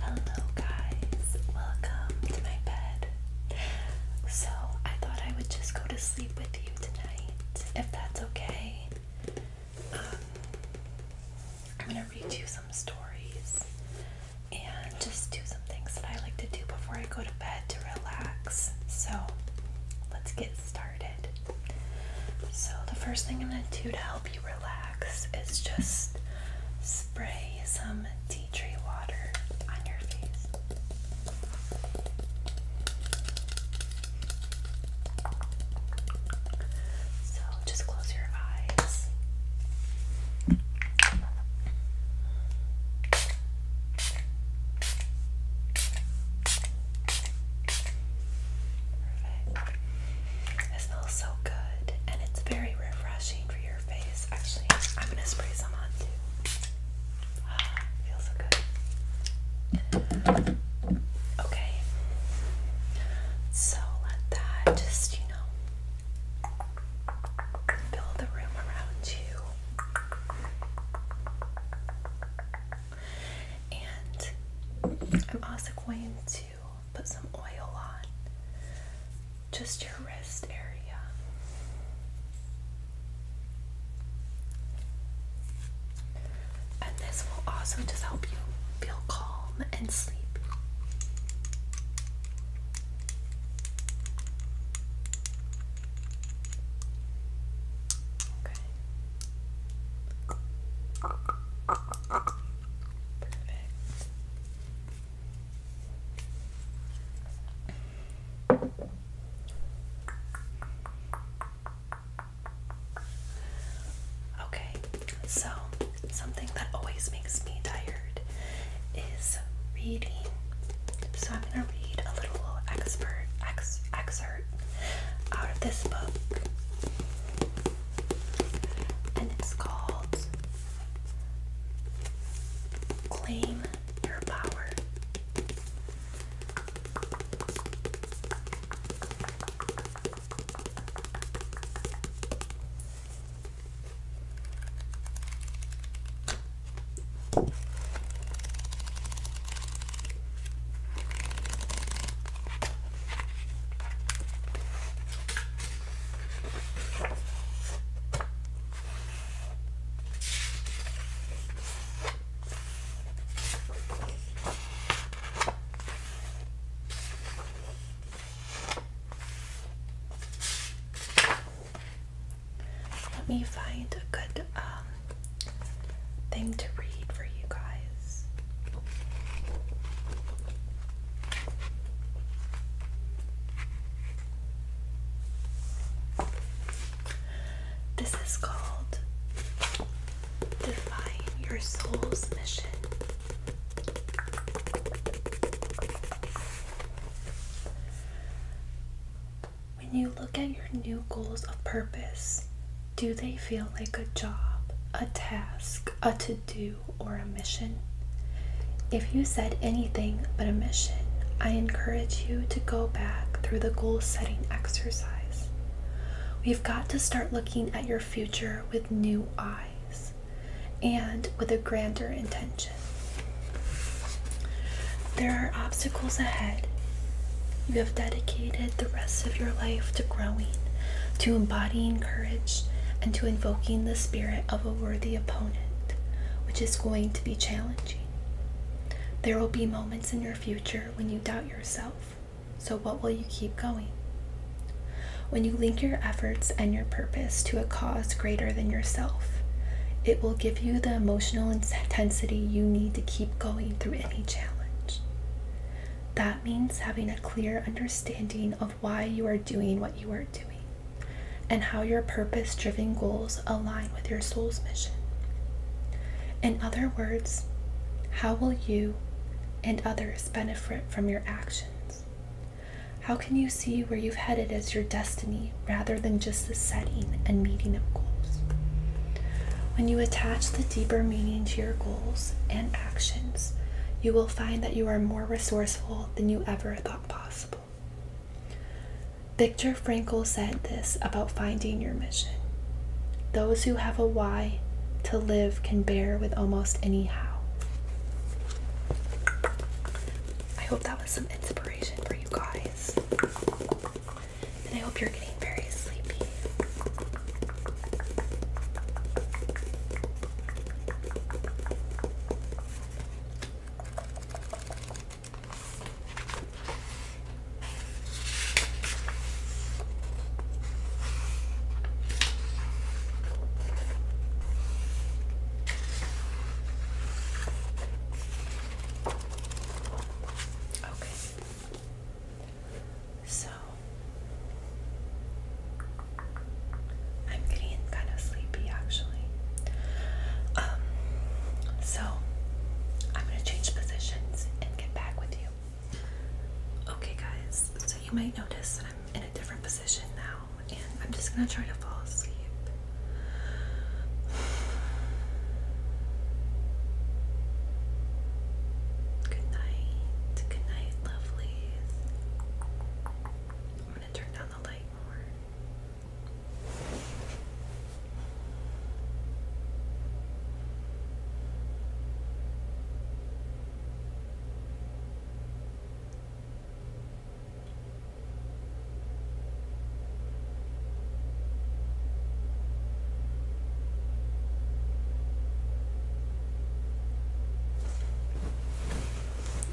Hello, guys. Welcome to my bed. So, I thought I would just go to sleep with you tonight, if that's okay. Um, I'm gonna read you some stories and just do some things that I like to do before I go to bed to relax. So, let's get started. So, the first thing I'm gonna do to help you relax is just spray some tea tree water on your face. So just close your eyes. Perfect. It smells so good and it's very refreshing for your face. Actually, I'm gonna spray some on too. Ah, feels so good. Okay. So let that just, you know, fill the room around you. And I'm also going to put some oil on just your wrist area. And this will also just help you feel calm and sleep. Okay. Okay, so something that always makes me tired is reading. So I'm going to read a little expert ex excerpt out of this book and it's called Claim Your Power. Let me find a good um, thing to read for you guys. This is called Define Your Soul's Mission. When you look at new goals of purpose? Do they feel like a job, a task, a to do, or a mission? If you said anything but a mission, I encourage you to go back through the goal setting exercise. We've got to start looking at your future with new eyes and with a grander intention. There are obstacles ahead you have dedicated the rest of your life to growing, to embodying courage, and to invoking the spirit of a worthy opponent, which is going to be challenging. There will be moments in your future when you doubt yourself. So, what will you keep going? When you link your efforts and your purpose to a cause greater than yourself, it will give you the emotional intensity you need to keep going through any challenge. That means having a clear understanding of why you are doing what you are doing and how your purpose driven goals align with your soul's mission. In other words, how will you and others benefit from your actions? How can you see where you've headed as your destiny rather than just the setting and meeting of goals? When you attach the deeper meaning to your goals and actions, you will find that you are more resourceful than you ever thought possible. Viktor Frankl said this about finding your mission. Those who have a why to live can bear with almost any how. I hope that was some inspiration for you guys and I hope you're getting very sleepy. Okay. So I'm getting kind of sleepy actually. Um, so I'm gonna change positions and get back with you. Okay, guys, so you might notice that I'm in a different position now, and I'm just gonna try to fall asleep. Good night. Good night, lovelies. I'm going to turn down the light more.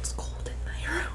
It's cold in my room.